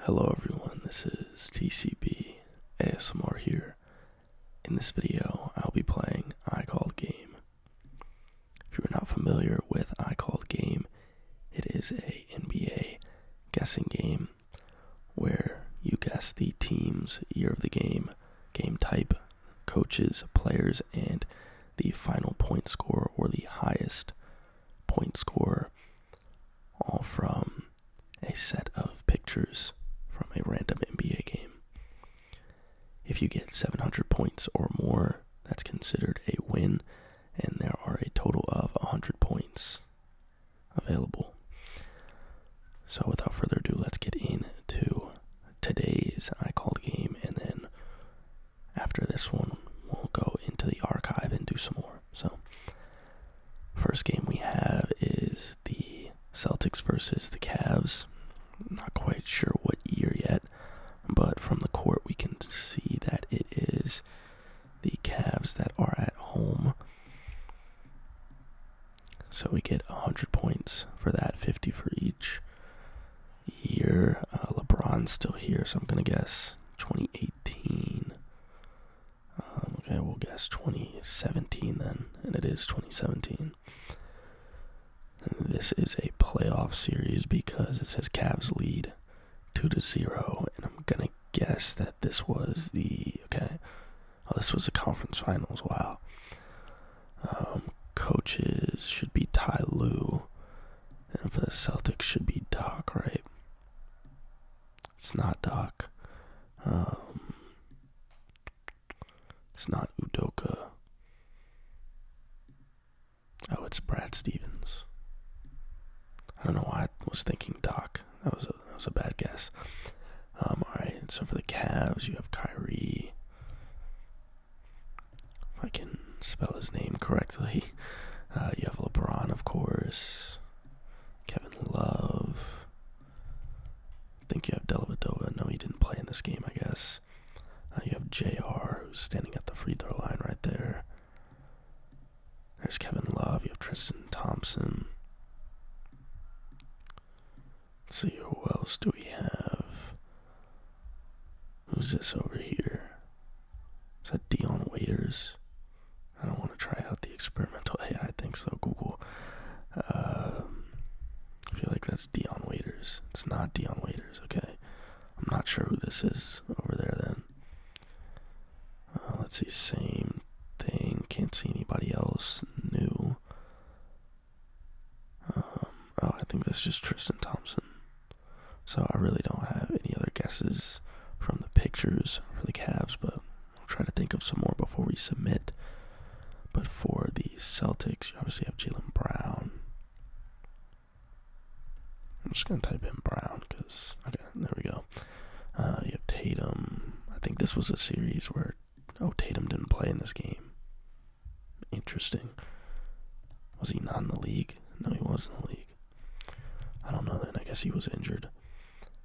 Hello everyone, this is TCB ASMR here. In this video, I'll be playing iCalled Game. If you're not familiar with iCalled Game, it is a NBA guessing game where you guess the team's year of the game, game type, coaches, players, and the final point score or the highest point score all from a set of pictures from a random NBA game. If you get 700 points or more, that's considered a win, and there are a total of 100 points available. So, without further ado, let's get into today's I Called game, and then after this one, we'll go into the archive and do some more. So, First game we have is the Celtics versus the Cavs. not quite sure what year yet, but from the court we can see that it is the Cavs that are at home. So we get 100 points for that, 50 for each year. Uh, LeBron's still here, so I'm going to guess 2018. Um, okay, we'll guess 2017 then, and it is 2017. this is a playoff series because it says Cavs lead 2 to 0, and I'm gonna guess that this was the. Okay, oh, this was the conference finals, wow. Um, coaches should be Ty Lue, and for the Celtics should be Doc, right? It's not Doc. Um, it's not Udoka. Oh, it's Brad Stevens. I don't know why I was thinking Doc. That was a, that was a bad guess. Um, all right. So for the Cavs, you have Kyrie. If I can spell his name correctly, uh, you have LeBron, of course. Kevin Love. I think you have Dellavedova. No, he didn't play in this game, I guess. Uh, you have JR, who's standing at the free throw line right there. There's Kevin Love. You have Tristan Thompson. Let's see, who else do we have? Who's this over here? Is that Dion Waiters? I don't want to try out the experimental AI thing, so Google. Um, I feel like that's Dion Waiters. It's not Dion Waiters, okay? I'm not sure who this is over there then. Uh, let's see, same thing. Can't see anybody else new. Um, oh, I think that's just Tristan Thompson. So I really don't have any other guesses from the pictures for the Cavs, but I'll try to think of some more before we submit. But for the Celtics, you obviously have Jalen Brown. I'm just gonna type in Brown because okay, there we go. Uh, you have Tatum. I think this was a series where oh Tatum didn't play in this game. Interesting. Was he not in the league? No, he was in the league. I don't know then. I guess he was injured.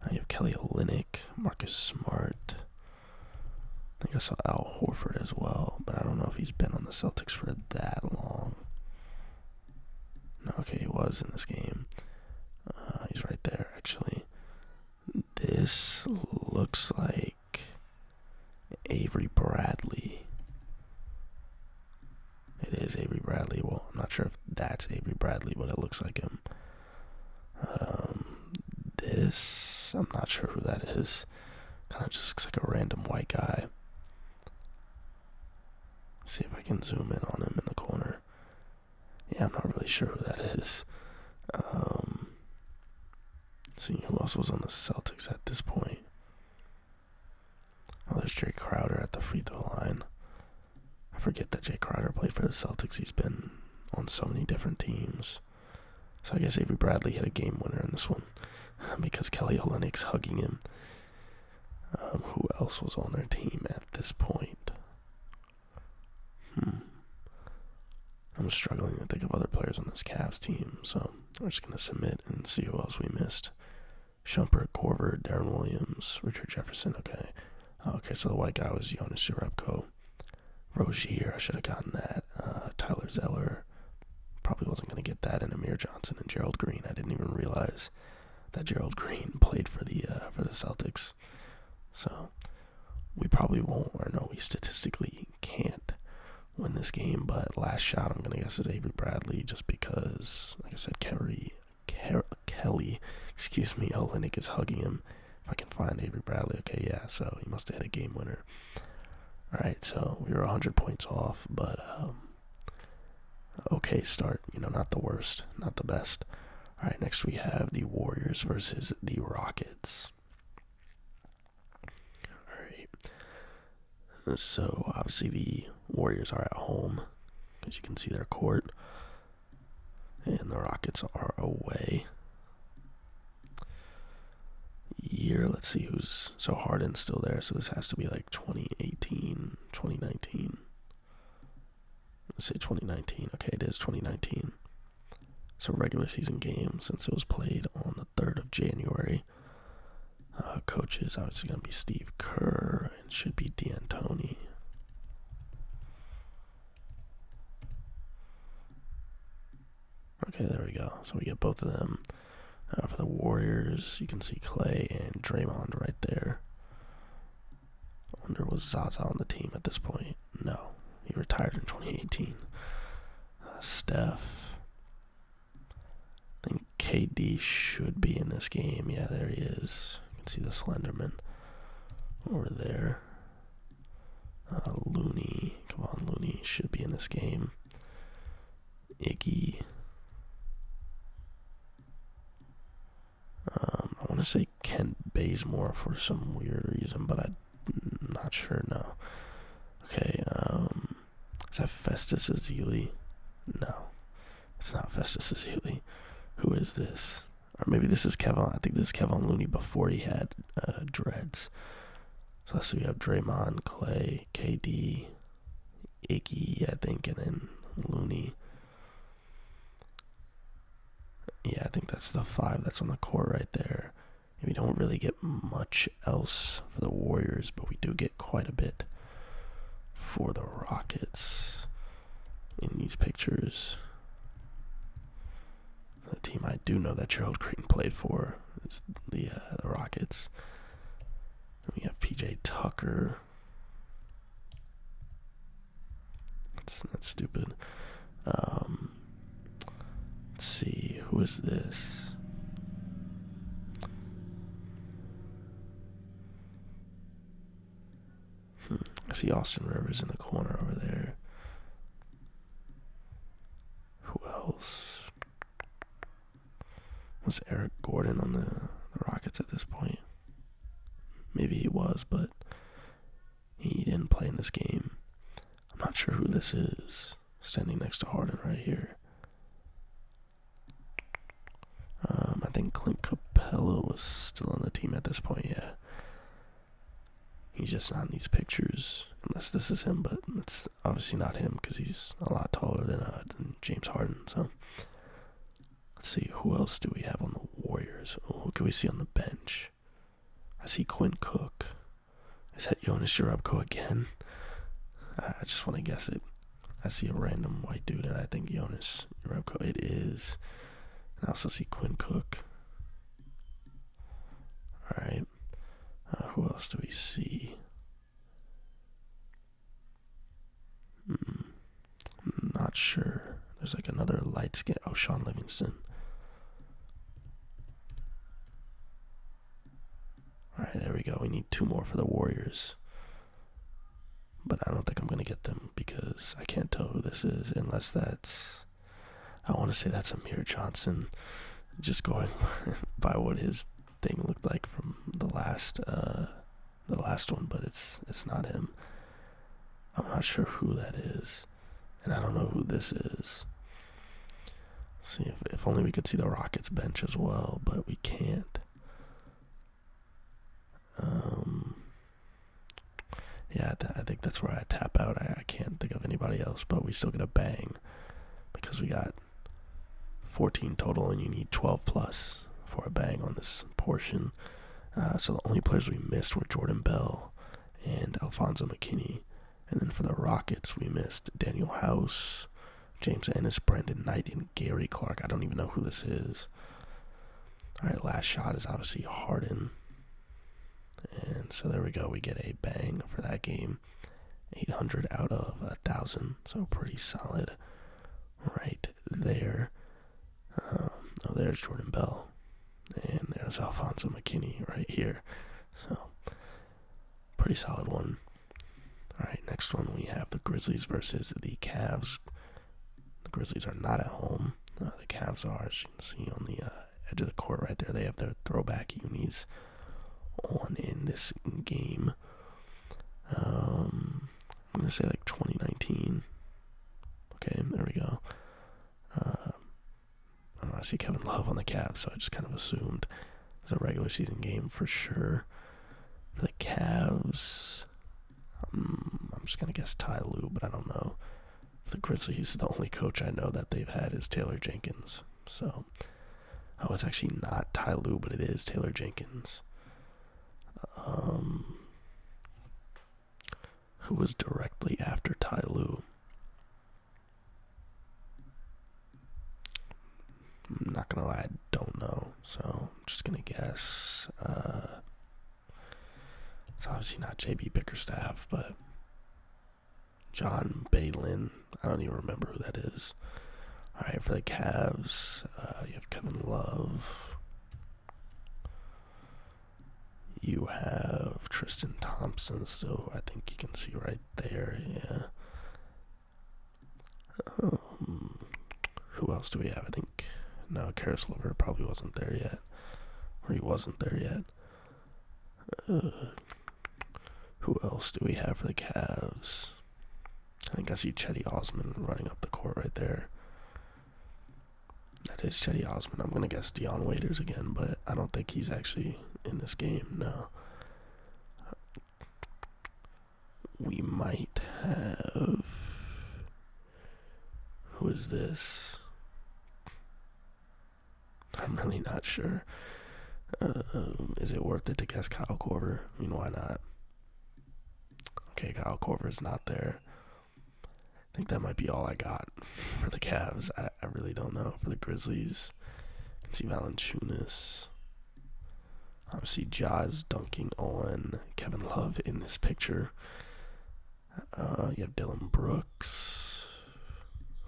I have Kelly Olynyk, Marcus Smart. I think I saw Al Horford as well, but I don't know if he's been on the Celtics for that long. okay, he was in this game. Uh, he's right there, actually. This looks like Avery Bradley. It is Avery Bradley. Well, I'm not sure if that's Avery Bradley, but it looks like him. Um, um, this, I'm not sure who that is. Kind of just looks like a random white guy. See if I can zoom in on him in the corner. Yeah, I'm not really sure who that is. Um, see who else was on the Celtics at this point. Oh, there's Jay Crowder at the free throw line. I forget that Jay Crowder played for the Celtics. He's been on so many different teams. So I guess Avery Bradley had a game winner in this one because Kelly Olynyk's hugging him. Um, who else was on their team at this point? Hmm. I'm struggling to think of other players on this Cavs team, so I'm just going to submit and see who else we missed. Shumpert, Corver, Darren Williams, Richard Jefferson. Okay. Okay, so the white guy was Jonas Jerebko. Rozier, I should have gotten that. Uh, Tyler Zeller, probably wasn't going to get that. And Amir Johnson and Gerald Green. I didn't even realize that Gerald Green played for the uh, for the Celtics. So we probably won't, or no, we statistically can't win this game. But last shot, I'm going to guess is Avery Bradley, just because, like I said, Kerry Kelly. Excuse me, Oh, Olenek is hugging him. If I can find Avery Bradley, okay, yeah, so he must have hit a game winner. Alright, so we were 100 points off, but um, okay start. You know, not the worst, not the best. Alright, next we have the Warriors versus the Rockets. Alright, so obviously the Warriors are at home, as you can see their court. And the Rockets are away. Year, let's see who's. So Harden's still there, so this has to be like 2018, 2019. Let's say 2019. Okay, it is 2019. So regular season game since it was played on the 3rd of January. Uh, coaches obviously going to be Steve Kerr it should be D'Antoni. Okay, there we go. So we get both of them. Uh, for the Warriors, you can see Clay and Draymond right there. I wonder was Zaza on the team at this point? No, he retired in 2018. Uh, Steph. I think KD should be in this game. Yeah, there he is. You can see the Slenderman over there. Uh, Looney, come on, Loony should be in this game. Icky. Um, I want to say Kent Baysmore for some weird reason, but I'm not sure. No. Okay. Um, is that Festus Azili? No, it's not Festus Azili. Who is this? or maybe this is Kevin. I think this is Kevin Looney before he had uh, dreads. So let's see, we have Draymond, Clay, KD, Icky, I think, and then Looney. Yeah, I think that's the five that's on the court right there. We don't really get much else for the Warriors, but we do get quite a bit for the Rockets in these pictures. The team I do know that Gerald Creighton played for is the, uh, the Rockets. we have PJ Tucker. That's that's stupid. Um, let's see, who is this? Hmm. I see Austin Rivers in the corner over there. Who else? Was Eric Gordon on the, the Rockets at this point? Maybe he was, but he didn't play in this game. I'm not sure who this is standing next to Harden right here. Um, I think Clint Capella was still on the team at this point, yeah. He's just not in these pictures, unless this is him, but it's obviously not him because he's a lot taller uh, than, James Harden. So let's see, who else do we have on the Warriors? Oh, can we see on the bench? I see Quinn Cook. Is that Jonas Jerebko again? I just want to guess it. I see a random white dude, and I think Jonas Jerebko. It is. I also see Quinn Cook. All right. Uh, who else do we see? Mm, not sure. There's like another light skin. Oh, Sean Livingston. All right, there we go. We need two more for the Warriors but I don't think I'm gonna get them because I can't tell who this is unless that's. I want to say that's Amir Johnson. Just going by what his thing looked like from the last, uh, the last one, but it's it's not him. I'm not sure who that is, and I don't know who this is. See if if only we could see the Rockets bench as well, but we can't. Um. Yeah, I think that's where I tap out. I, can't think of anybody else, but we still get a bang because we got 14 total, and you need 12 plus for a bang on this portion. Uh, so the only players we missed were Jordan Bell and Alphonso McKinney. And then for the Rockets, we missed Daniel House, James Ennis, Brandon Knight, and Gary Clark. I don't even know who this is. All right, last shot is obviously Harden. And so there we go. We get a bang for that game. 800 out of 1,000. So pretty solid right there. Um, oh, there's Jordan Bell. And there's Alfonso McKinney right here. So pretty solid one. All right, next one we have the Grizzlies versus the Cavs. The Grizzlies are not at home. Uh, the Cavs are, as you can see on the uh, edge of the court right there. They have their throwback unis on in this game. Um, I'm gonna say like 2019. Okay, there we go. Uh, I, I see Kevin Love on the Cavs, so I just kind of assumed it's a regular season game for sure. For the Cavs, um, I'm just going to guess Ty Lue, but I don't know. the Grizzlies, the only coach I know that they've had is Taylor Jenkins. So, oh, it's actually not Ty Lue, but it is Taylor Jenkins. Um, who was directly after Ty Lue? I'm not gonna lie, I don't know. So I'm just gonna guess. Uh, it's obviously not JB Bickerstaff, but John Balin. I don't even remember who that is. All right, for the Cavs, uh, you have Kevin Love. You have Tristan Thompson So I think you can see right there. Yeah. Um, who else do we have? I think no, Karis Lever probably wasn't there yet or he wasn't there yet. Uh, who else do we have for the Cavs? I think I see Chetty Osman running up the court right there. That is Chetty Osman. I'm gonna guess Dion Waiters again, but I don't think he's actually in this game. No. We might have. Who is this? I'm really not sure. Um, is it worth it to guess Kyle Corver? I mean, why not? Okay, Kyle is not there. I think that might be all I got for the Cavs. I, really don't know. For the Grizzlies, I can see Valanchunas. I see Jaws dunking on Kevin Love in this picture. Uh, you have Dylan Brooks,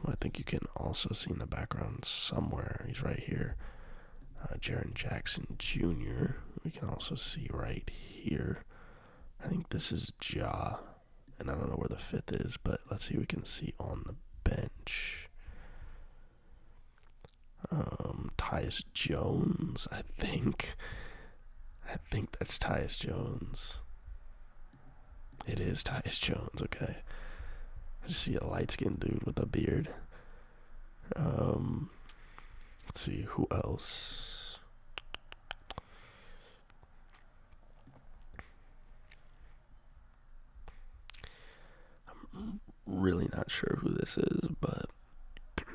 I think you can also see in the background somewhere. He's right here. Uh, Jaron Jackson Jr., we can also see right here. I think this is Ja, and I don't know where the fifth is, but let's see we can see on the bench. Um, Tyus Jones, I think. I think that's Tyus Jones. It is Tyus Jones, okay. I just see a light skinned dude with a beard. Um let's see, who else? I'm really not sure who this is, but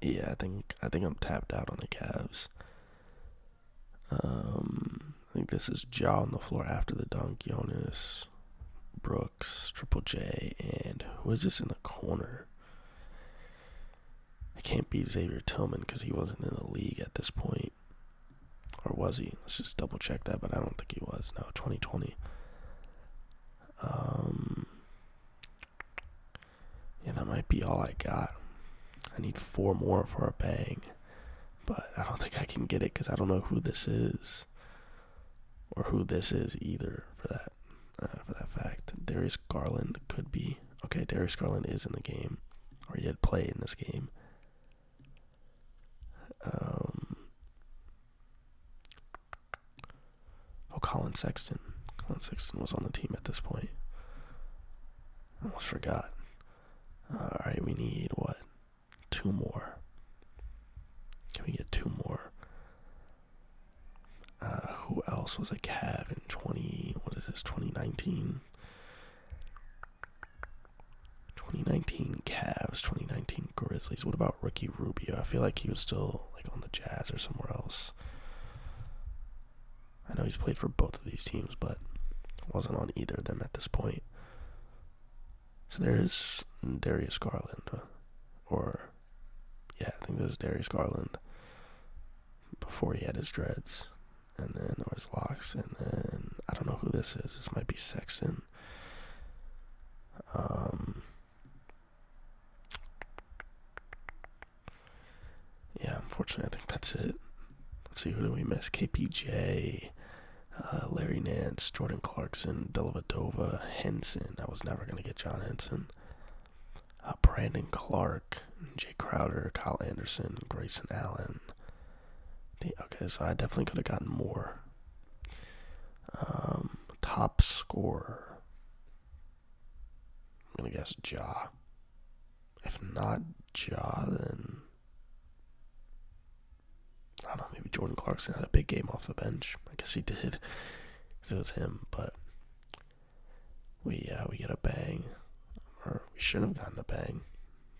yeah, I think I think I'm tapped out on the Cavs. Um, I think this is Jaw on the floor after the dunk. Jonas, Brooks, Triple J, and who is this in the corner? It can't be Xavier Tillman because he wasn't in the league at this point. Or was he? Let's just double check that, but I don't think he was. No, 2020. Um, yeah, that might be all I got. I need four more for a bang, but I don't think I can get it because I don't know who this is, or who this is either. For that, uh, for that fact, Darius Garland could be okay. Darius Garland is in the game, or he had played in this game. Um, oh, Colin Sexton. Colin Sexton was on the team at this point. Almost forgot. Uh, Alright, we need what? Two more. Can we get two more? Uh, who else was a cab in 20, what is this, 2019? 2019 Cavs, 2019 Grizzlies. What about rookie Rubio? I feel like he was still like on the Jazz or somewhere else. I know he's played for both of these teams, but wasn't on either of them at this point. So there is Darius Garland, uh, or yeah, I think this is Darius Garland before he had his dreads, and then or his locks, and then I don't know who this is. This might be Sexton. Um, yeah, unfortunately, I think that's it. Let's see, who do we miss? KPJ, uh, Larry Nance, Jordan Clarkson, Delavadova, Henson. I was never going to get John Henson. Uh, Brandon Clark, Jay Crowder, Kyle Anderson, Grayson Allen. okay, so I definitely could have gotten more. Um, top score. I'm gonna guess Jaw. If not Jaw, then I don't know. Maybe Jordan Clarkson had a big game off the bench. I guess he did. it was him, but we uh, we get a bang, or we should have gotten a bang.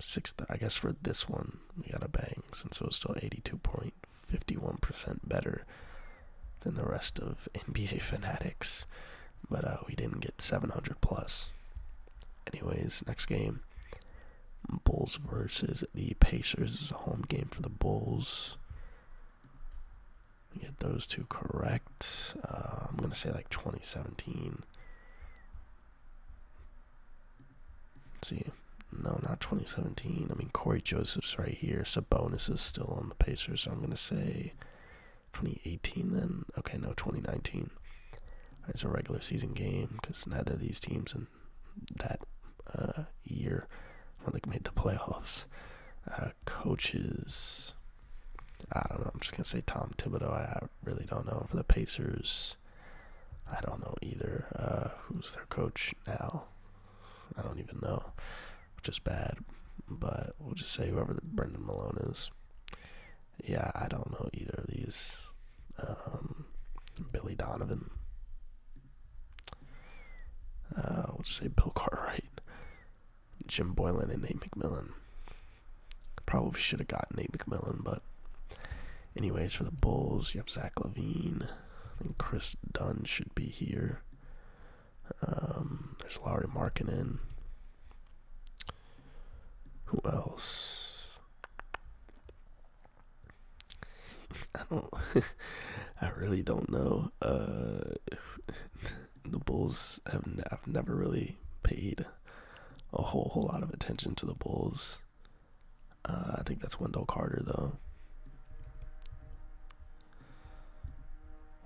Six, I guess for this one we got a bang since it was still eighty-two point fifty-one percent better than the rest of NBA fanatics but uh, we didn't get 700 plus. Anyways, next game. Bulls versus the Pacers is a home game for the Bulls. get those two correct. Uh, I'm going to say like 2017. see. No, not 2017. I mean, Corey Joseph's right here. Sabonis is still on the Pacers, so I'm going to say 2018 then? Okay, no, 2019. It's a regular season game because neither of these teams in that uh, year when they made the playoffs. Uh, coaches, I don't know. I'm just gonna say Tom Thibodeau. I, really don't know for the Pacers. I don't know either. Uh, who's their coach now? I don't even know, which is bad. But we'll just say whoever the Brendan Malone is. Yeah, I don't know either of these. Um, Billy Donovan. Uh, we'll just say Bill Cartwright, Jim Boylan, and Nate McMillan. Probably should have gotten Nate McMillan, but anyways, for the Bulls, you have Zach Levine. I think Chris Dunn should be here. Um, there's Laurie Markin in. Who else? I don't. I really don't know. Uh, the Bulls have. N I've never really paid a whole whole lot of attention to the Bulls. Uh, I think that's Wendell Carter though.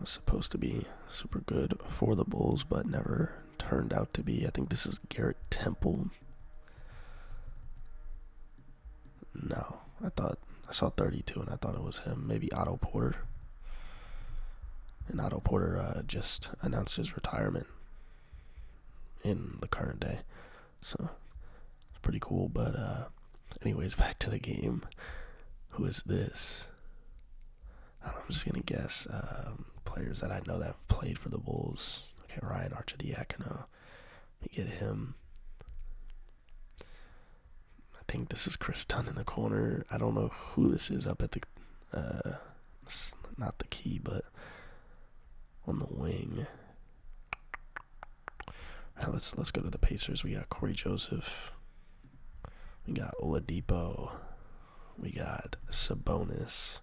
Was supposed to be super good for the Bulls, but never turned out to be. I think this is Garrett Temple. No, I thought I saw 32 and I thought it was him. Maybe Otto Porter. And Otto Porter uh, just announced his retirement in the current day. So it's pretty cool. But, uh, anyways, back to the game. Who is this? I am just gonna guess um, players that I know that have played for the Bulls. Okay, Ryan Archidiakono. Let me get him. I think this is Chris Dunn in the corner. I don't know who this is up at the, uh, not the key, but on the wing. All right, let's let's go to the Pacers. We got Corey Joseph. We got Oladipo. We got Sabonis.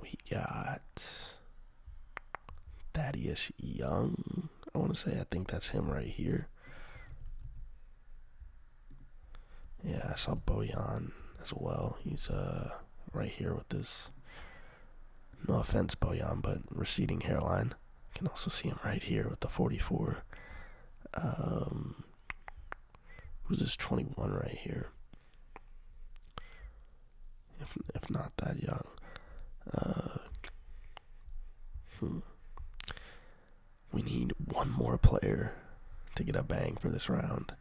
We got Thaddeus Young. I want to say I think that's him right here. Yeah, I saw Bojan as well. He's uh right here with this. No offense, Bojan, but receding hairline. You can also see him right here with the 44. Um, Who's this 21 right here? If, not that young. Uh, hmm. We need one more player to get a bang for this round.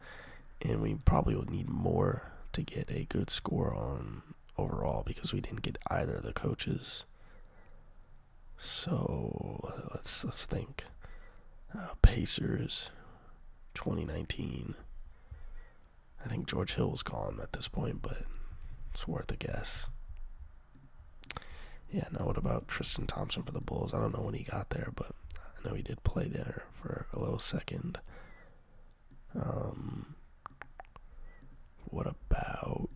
And we probably would need more to get a good score on overall because we didn't get either of the coaches so let's let's think. Uh, Pacers, 2019. I think George Hill's gone at this point, but it's worth a guess. Yeah. Now what about Tristan Thompson for the Bulls? I don't know when he got there, but I know he did play there for a little second. Um. What about?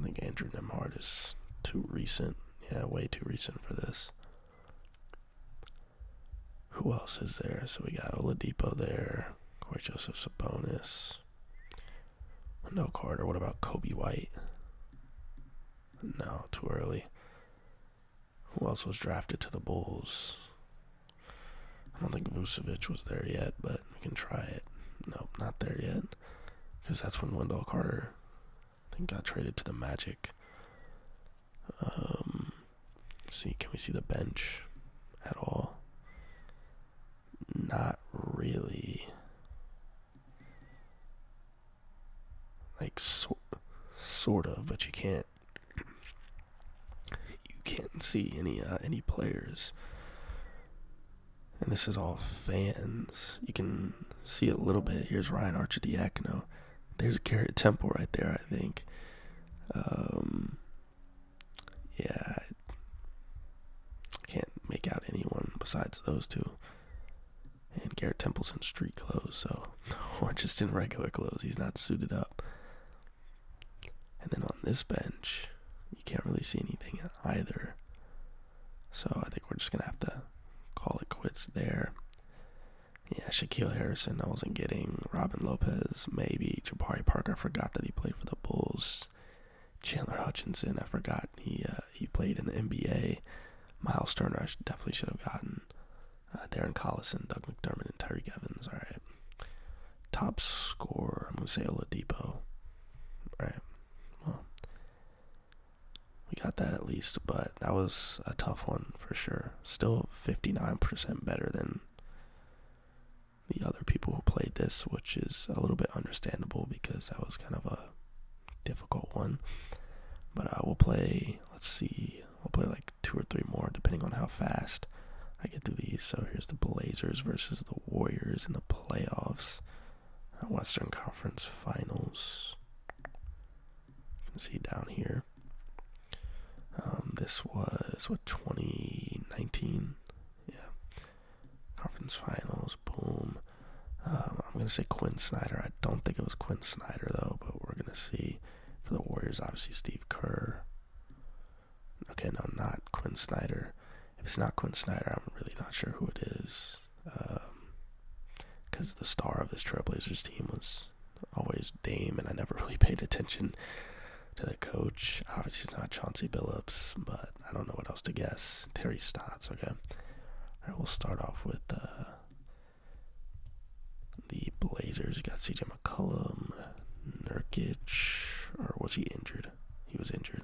I think Andrew Nemhard is too recent. Yeah, way too recent for this. Who else is there? So we got Oladipo there. Corey Joseph's a bonus. No Carter. What about Kobe White? No, too early. Who else was drafted to the Bulls? I don't think Vucevic was there yet, but we can try it. Nope, not there yet. Because that's when Wendell Carter I think got traded to the Magic. Um, see, can we see the bench at all? Not really. Like so, sort of, but you can't. You can't see any uh, any players. And this is all fans. You can see a little bit. Here's Ryan Archer Archidiakono. There's Garrett Temple right there, I think. Um, yeah, I can't make out anyone besides those two. And Garrett Temple's in street clothes, so or just in regular clothes. He's not suited up. And then on this bench, you can't really see anything either. So I think we're just gonna have to call it quits there. Yeah, Shaquille Harrison, I wasn't getting. Robin Lopez, maybe. Jabari Parker, I forgot that he played for the Bulls. Chandler Hutchinson, I forgot he uh, he played in the NBA. Miles Turner, I definitely should have gotten. Uh, Darren Collison, Doug McDermott, and Tyreek Evans. All right. Top score. I'm gonna say Oladipo. All right. Well, we got that at least, but that was a tough one for sure. Still 59% better than the other people who played this, which is a little bit understandable because that was kind of a difficult one. But I will play, let's see, i will play like two or three more depending on how fast I get through these. So here's the Blazers versus the Warriors in the playoffs. Western Conference Finals. You can see down here. Um, this was what 2019, yeah. Conference Finals, boom. Um, I'm gonna say Quinn Snyder. I don't think it was Quinn Snyder though, but we're gonna see. For the Warriors, obviously Steve Kerr. Okay, no, not Quinn Snyder. If it's not Quinn Snyder, I'm really not sure who it is because um, the star of this Trailblazers team was always Dame, and I never really paid attention to the coach. Obviously, it's not Chauncey Billups, but I don't know what else to guess. Terry Stotts, okay. All right, we'll start off with uh, the Blazers. You got CJ McCollum, Nurkic, or was he injured? He was injured.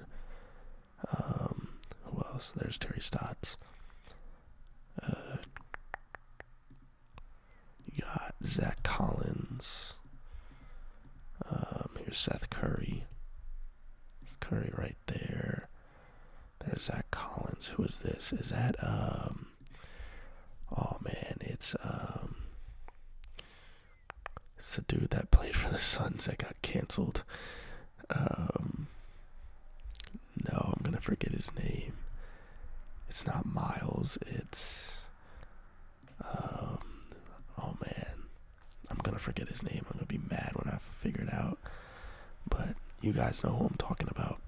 Um, who else? There's Terry Stotts. Uh, you got Zach Collins. Um, here's Seth Curry. Seth Curry right there. There's Zach Collins. Who is this? Is that um? Oh man, it's um. It's the dude that played for the Suns that got canceled. Um, no, I'm gonna forget his name. It's not Miles. It's um. Oh man, I'm gonna forget his name. I'm gonna be mad when I figure it out. But you guys know who I'm talking about.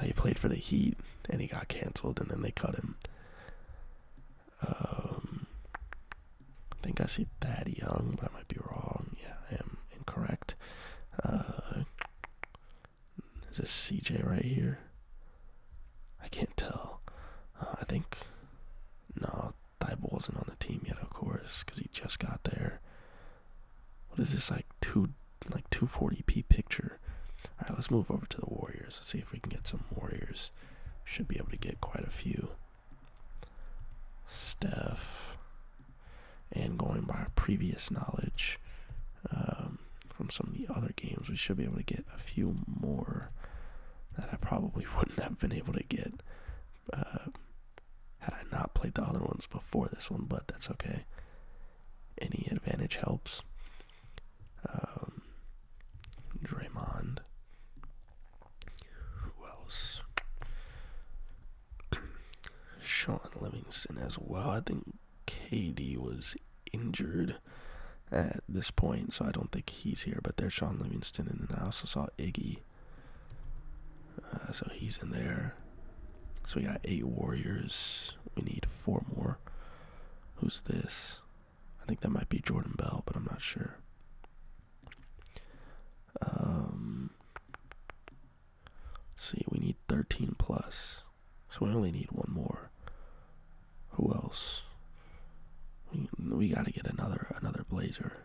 Uh, he played for the Heat and he got canceled, and then they cut him. Um, I think I see Thad Young, but I might be wrong. Yeah, I am incorrect not. Uh, is this CJ right here? I can't tell. Uh, I think no, Thibault wasn't on the team yet, of course, because he just got there. What is this like two like 240p picture? All right, let's move over to the Warriors. Let's see if we can get some Warriors. Should be able to get quite a few. Steph, and going by our previous knowledge um, from some of the other games, we should be able to get a few more that I probably wouldn't have been able to get uh, had I not played the other ones before this one, but that's okay. Any advantage helps. Um, Draymond. Who else? Sean Livingston as well. I think KD was injured at this point, so I don't think he's here. But there's Sean Livingston, and then I also saw Iggy. Uh, so he's in there. So we got eight Warriors. We need four more. Who's this? I think that might be Jordan Bell, but I'm not sure. Um, See, we need 13 plus. So we only need one more. Who else? We, we gotta get another another blazer.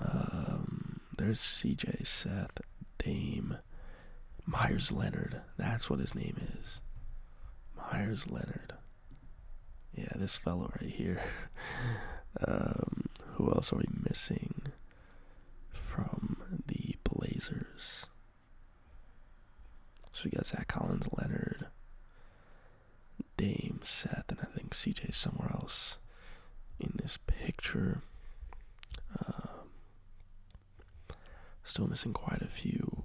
Um, there's CJ, Seth, Dame, Myers Leonard. That's what his name is. Myers Leonard. Yeah, this fellow right here. Um, who else are we missing? from the Blazers. So we got Zach Collins, Leonard, Dame, Seth, and I think CJ is somewhere else in this picture. Um, still missing quite a few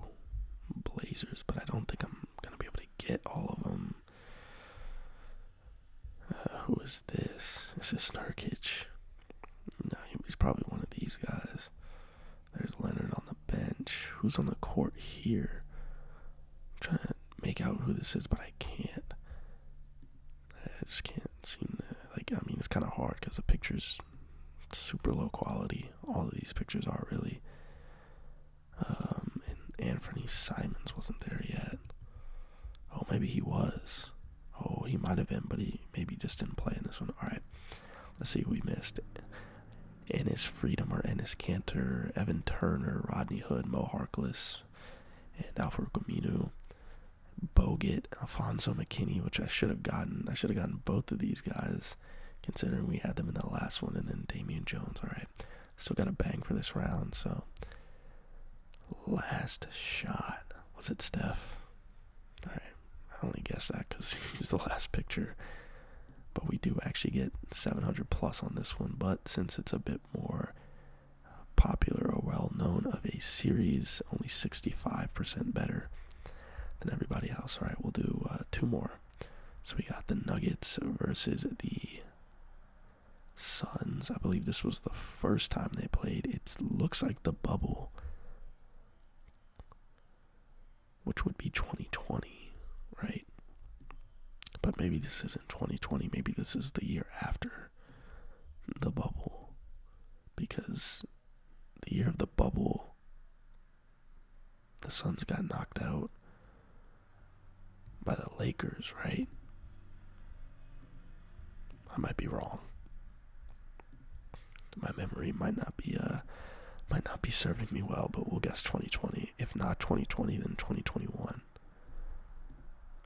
Blazers, but I don't think I'm going to be able to get all of them. Uh, who is this? Is this Nurkic? No, he's probably one of these guys. There's Leonard on the bench. Who's on the court here? trying to make out who this is, but I can't. I just can't seem to. Like, I mean, it's kind of hard because the picture's super low quality. All of these pictures are really. Um, and Anthony Simons wasn't there yet. Oh, maybe he was. Oh, he might have been, but he maybe just didn't play in this one. All right, let's see who we missed. Ennis Freedom or Ennis Cantor, Evan Turner, Rodney Hood, Mo Harkless, and Alfred Camino, Bogut, Alfonso McKinney, which I should have gotten. I should have gotten both of these guys, considering we had them in the last one, and then Damian Jones. All right, still got a bang for this round, so Last shot. Was it Steph? Alright. I only guess that because he's the last picture. But we do actually get 700 plus on this one. But since it's a bit more popular or well known of a series, only 65% better than everybody else. Alright, we'll do uh, two more. So we got the Nuggets versus the Suns. I believe this was the first time they played. It looks like the bubble, which would be 2020, right? But maybe this isn't 2020. Maybe this is the year after the bubble. Because the year of the bubble, the Suns got knocked out by the Lakers, right? I might be wrong. My memory might not be uh might not be serving me well, but we'll guess 2020. If not 2020, then 2021.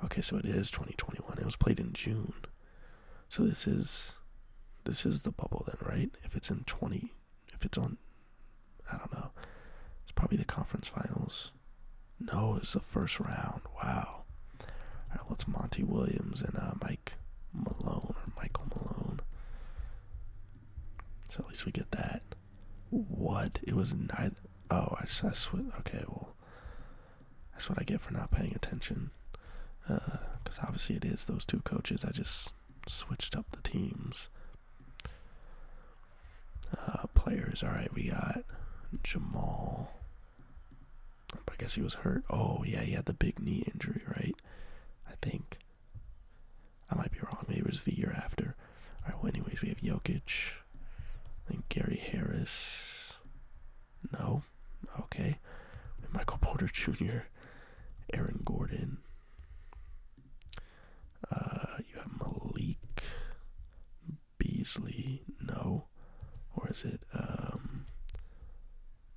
Okay, so it is 2021. It was played in June. So this is this is the bubble then, right? If it's in 20 if it's on I don't know. It's probably the conference finals. No, it's the first round. Wow. All right, what's Monty Williams and uh, Mike Malone or Michael Malone? So at least we get that. What? It was neither. Oh, I, I switched. Okay, well, that's what I get for not paying attention. Because uh, obviously it is those two coaches. I just switched up the teams. Uh, players. All right, we got Jamal but I guess he was hurt. Oh, yeah, he had the big knee injury, right? I think. I might be wrong. Maybe it was the year after. All right, well, anyways, we have Jokic. I think Gary Harris. No. Okay. Michael Porter Jr., Aaron Gordon. Uh, you have Malik Beasley? No. Or is it um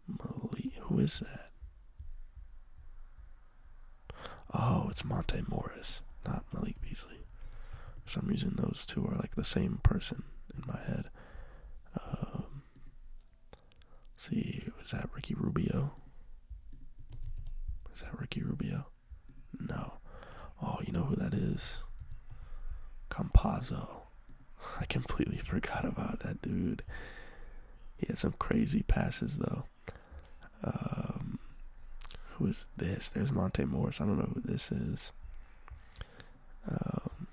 Malik? Who is that? Oh, it's Monte Morris, not Malik Beasley. For some reason, those two are like the same person in my head. Um, see, is that Ricky Rubio? Is that Ricky Rubio? No. Oh, you know who that is? Campazzo. I completely forgot about that dude. He had some crazy passes though. Um, who is this? There's Monte Morris. I don't know who this is. Um,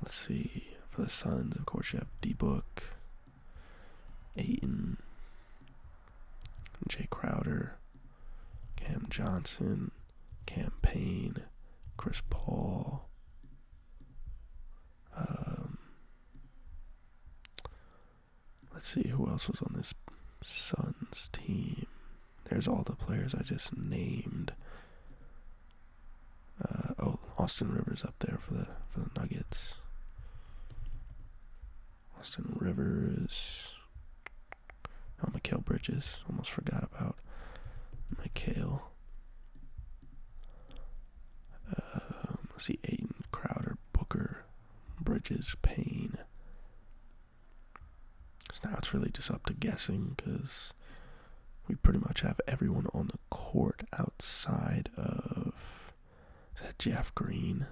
let's see. For the Suns, of course, you have D Book, Aiton, Jay Crowder. Cam Johnson, campaign, Chris Paul. Um, let's see who else was on this Suns team. There's all the players I just named. Uh, oh, Austin Rivers up there for the for the Nuggets. Austin Rivers. Oh, Mikhail Bridges. Almost forgot about Mikhail. Um, let's see, Aiden, Crowder, Booker, Bridges, Payne. So now it's really just up to guessing because we pretty much have everyone on the court outside of. Is that Jeff Green?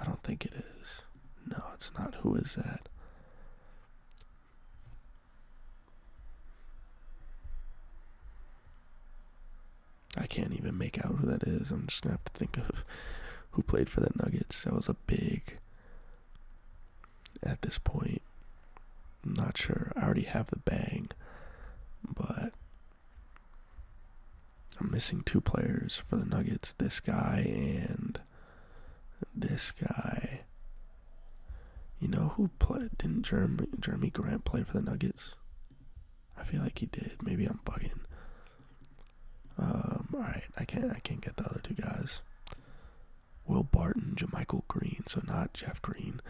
I don't think it is. No, it's not. Who is that? I can't even make out who that is. I'm just gonna have to think of who played for the Nuggets. That was a big at this point. I'm not sure. I already have the bang, but I'm missing two players for the Nuggets this guy and this guy. You know who played? Didn't Jeremy, Jeremy Grant play for the Nuggets? I feel like he did. Maybe I'm bugging. Um, all right, I can't. I can't get the other two guys. Will Barton, Jamichael Green, so not Jeff Green,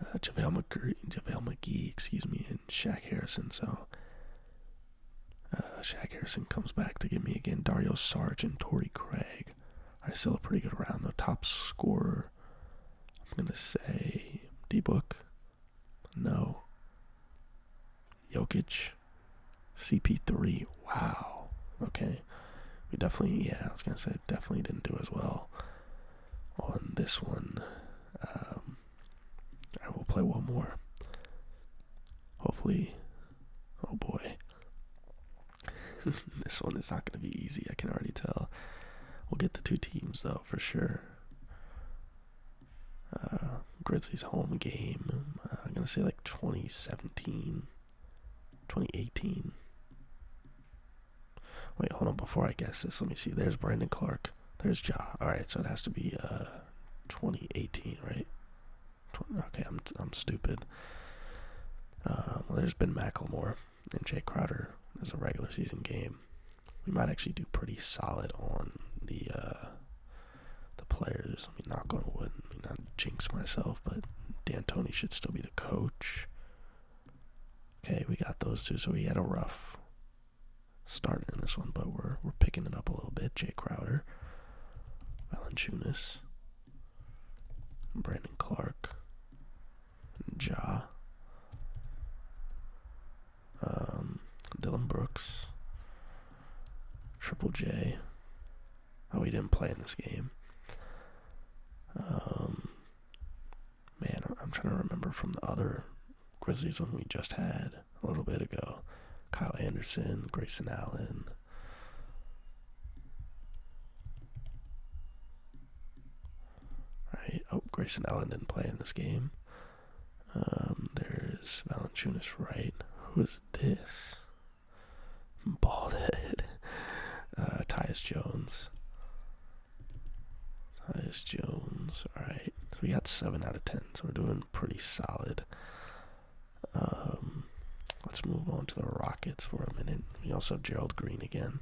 uh, JaVale, McGree, McGee, excuse me, and Shaq Harrison. So uh, Shaq Harrison comes back to get me again. Dario Sarge and Tori Craig. I still a pretty good round though. Top scorer. I'm gonna say D Book. No. Jokic. CP3. Wow. Okay. We definitely, yeah, I was gonna say definitely didn't do as well on this one. Um, I will play one more. Hopefully, oh boy, this one is not going to be easy. I can already tell. We'll get the two teams though for sure. Uh, Grizzlies home game. Uh, I'm gonna say like 2017, 2018. Wait, hold on. Before I guess this, let me see. There's Brandon Clark. There's Ja. All right, so it has to be uh 2018, right? Okay, I'm I'm stupid. Uh, well, there's Ben McLemore and Jay Crowder as a regular season game. We might actually do pretty solid on the uh, the players. I mean, knock on wood. I mean, not jinx myself, but D'Antoni should still be the coach. Okay, we got those two. So we had a rough start in this one, but we're we're picking it up a little bit. Jay Crowder, Valanciunas, Brandon Clark, Ja, um, Dylan Brooks, Triple J. Oh, he didn't play in this game. Um, man, I'm trying to remember from the other Grizzlies when we just had a little bit ago. Kyle Anderson, Grayson Allen, Right. Oh, Grayson Allen didn't play in this game. Um, there's Valanchunas right. Who's this? Bald head. Uh, Tyus Jones. Tyus Jones. All right. So we got seven out of ten. So we're doing pretty solid. Um, let's move on to the Rockets for a minute. We also have Gerald Green again.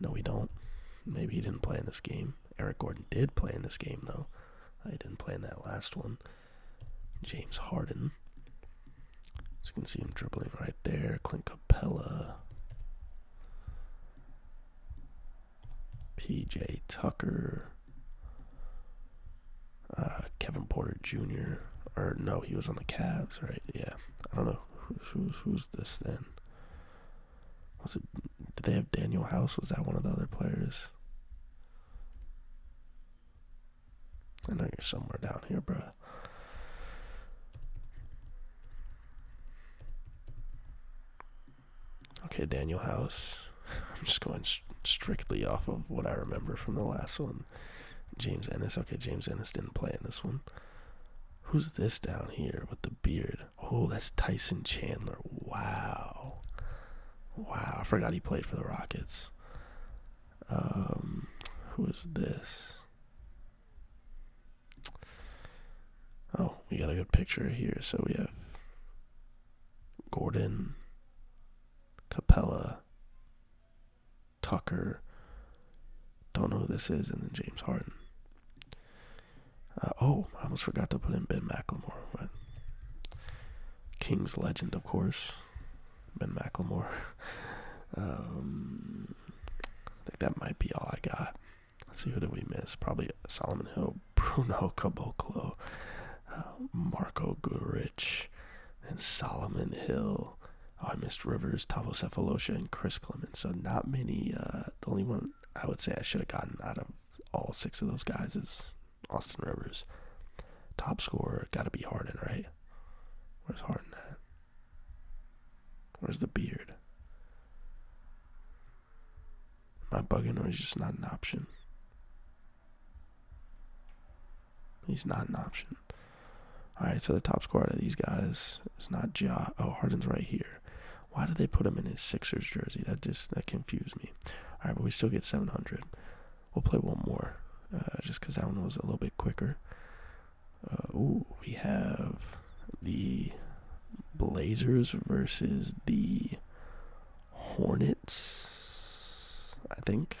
No, we don't. Maybe he didn't play in this game. Eric Gordon did play in this game, though. I didn't play in that last one. James Harden. So you can see him dribbling right there. Clint Capella. PJ Tucker. Uh, Kevin Porter Jr. Or no, he was on the Cavs, right? Yeah, I don't know who's who's, who's this then. Was it? Did they have Daniel House? Was that one of the other players? I know you're somewhere down here, bro. Okay, Daniel House. I'm just going strictly off of what I remember from the last one. James Ennis. Okay, James Ennis didn't play in this one. Who's this down here with the beard? Oh, that's Tyson Chandler. Wow. Wow, I forgot he played for the Rockets. Um, who is this? Oh, we got a good picture here. So we have Gordon, Capella, Tucker. Don't know who this is, and then James Harden. Uh, oh, I almost forgot to put in Ben McLemore. But Kings legend, of course, Ben McLemore. Um, I think that might be all I got. Let's see who did we miss? Probably Solomon Hill, Bruno Caboclo, uh, Marco Gurich, and Solomon Hill. Oh, I missed Rivers, Tavo Cephalosha, and Chris Clemens. So not many. Uh, the only one I would say I should have gotten out of all six of those guys is Austin Rivers. Top scorer got to be Harden, right? Where's Harden at? Where's the beard? My I bugging is just not an option? He's not an option. All right, so the top scorer of these guys is not Ja. Oh, Harden's right here. Why did they put him in his Sixers jersey? That just that confused me. All right, but we still get 700. We'll play one more, uh, just because that one was a little bit quicker. Uh, ooh, we have the Blazers versus the Hornets. I think.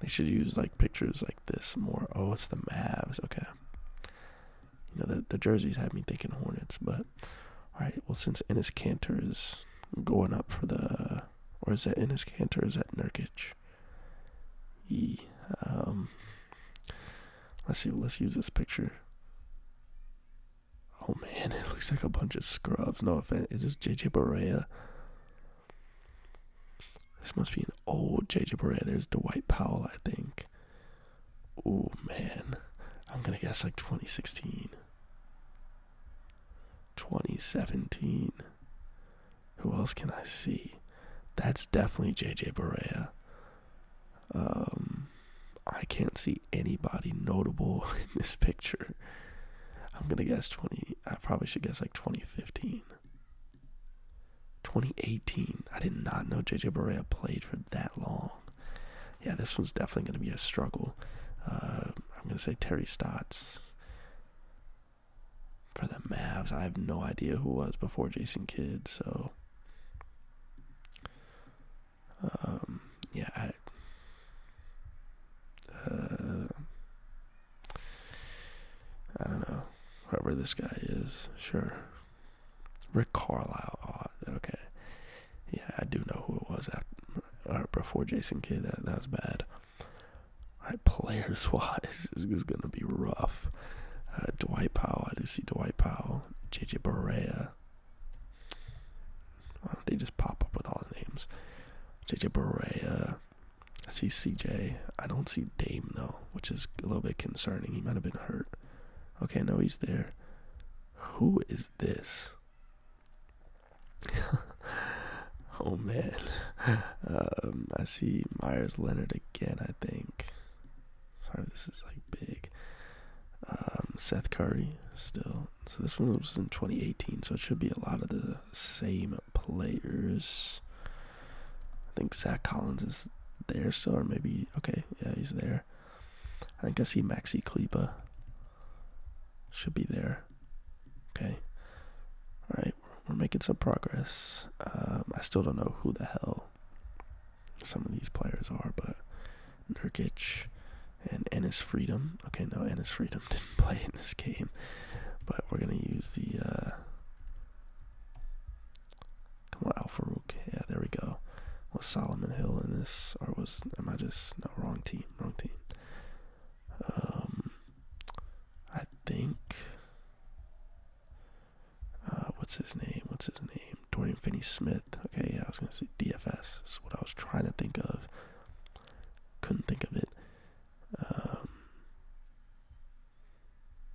They should use like pictures like this more. Oh, it's the Mavs. Okay. You know the the jerseys had me thinking Hornets, but all right. Well, since Ennis Cantor is going up for the, or is that Ennis Cantor? is that Nurkic? E. Um, let's see. Let's use this picture. Oh man, it looks like a bunch of scrubs. No offense. Is this JJ Barea? This must be an old JJ Barea. There's Dwight Powell, I think. Oh man, I'm gonna guess like 2016, 2017. Who else can I see? That's definitely JJ Barea. Um, I can't see anybody notable in this picture. I'm gonna guess 20. I probably should guess like 2015. 2018. I did not know JJ Barea played for that long. Yeah, this one's definitely gonna be a struggle. Uh, I'm gonna say Terry Stotts for the Mavs. I have no idea who was before Jason Kidd, so um, yeah. Uh, I don't know. Whoever this guy is, sure. Rick Carlisle. Oh, okay. Yeah, I do know who it was uh, before Jason Kidd. That, was bad. All right, players wise, is going to be rough. Uh, Dwight Powell. I do see Dwight Powell. JJ Barea. Why don't they just pop up with all the names? JJ Barea. I see CJ. I don't see Dame though, which is a little bit concerning. He might have been hurt. Okay, no, he's there. Who is this? oh man. Um, I see Myers Leonard again, I think. Sorry, this is like big. Um, Seth Curry still. So this one was in 2018, so it should be a lot of the same players. I think Zach Collins is there still, or maybe okay, yeah, he's there. I think I see Maxi Kleba. Should be there. Okay. All right, we're making some progress. Um, I still don't know who the hell some of these players are, but Nurkic and Ennis Freedom Okay, no, Anna's Freedom didn't play in this game, but we're gonna use the. Uh, come on, Al Farouk. Yeah, there we go. Was Solomon Hill in this, or was am I just no wrong team? Wrong team. Um, I think. Uh, what's his name? What's his name? Dorian Finney-Smith. Okay, yeah, I was gonna say DFS. Is what I was trying to think of. Couldn't think of it. Um,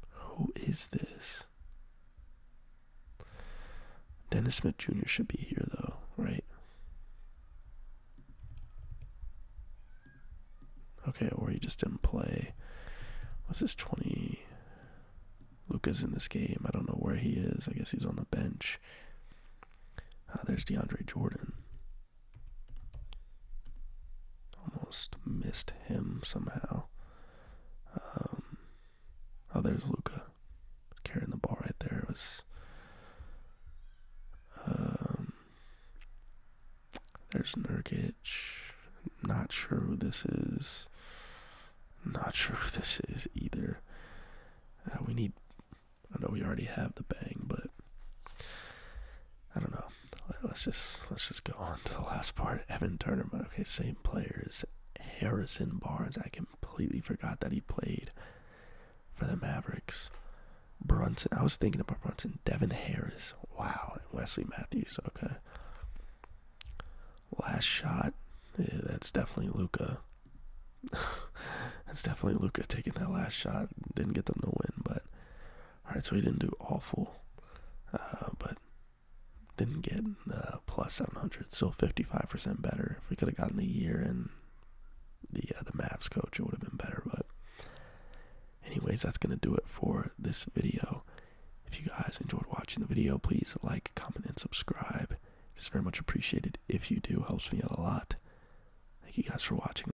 who is this? Dennis Smith Jr. should be here, though, right? Okay, or he just didn't play. What's this, 20? Luca's in this game. I don't know where he is. I guess he's on the bench. Ah, there's DeAndre Jordan. Almost missed him somehow. Um, oh, there's Luca carrying the ball right there. It was. Um, there's Nurkic. Not sure who this is. Not sure who this is either. Uh, we need I know we already have the bang, but I don't know. Let's just let's just go on to the last part. Evan Turner, okay, same players. Harrison Barnes, I completely forgot that he played for the Mavericks. Brunson, I was thinking about Brunson. Devin Harris, wow, and Wesley Matthews, okay. Last shot, yeah, that's definitely Luca. that's definitely Luca taking that last shot. Didn't get them to win, but all right, so we didn't do awful, uh, but didn't get uh, plus 700. Still 55% better. If we could have gotten the year and the uh, the Mavs coach, it would have been better. But anyways, that's gonna do it for this video. If you guys enjoyed watching the video, please like, comment, and subscribe. It's very much appreciated if you do. Helps me out a lot. Thank you guys for watching.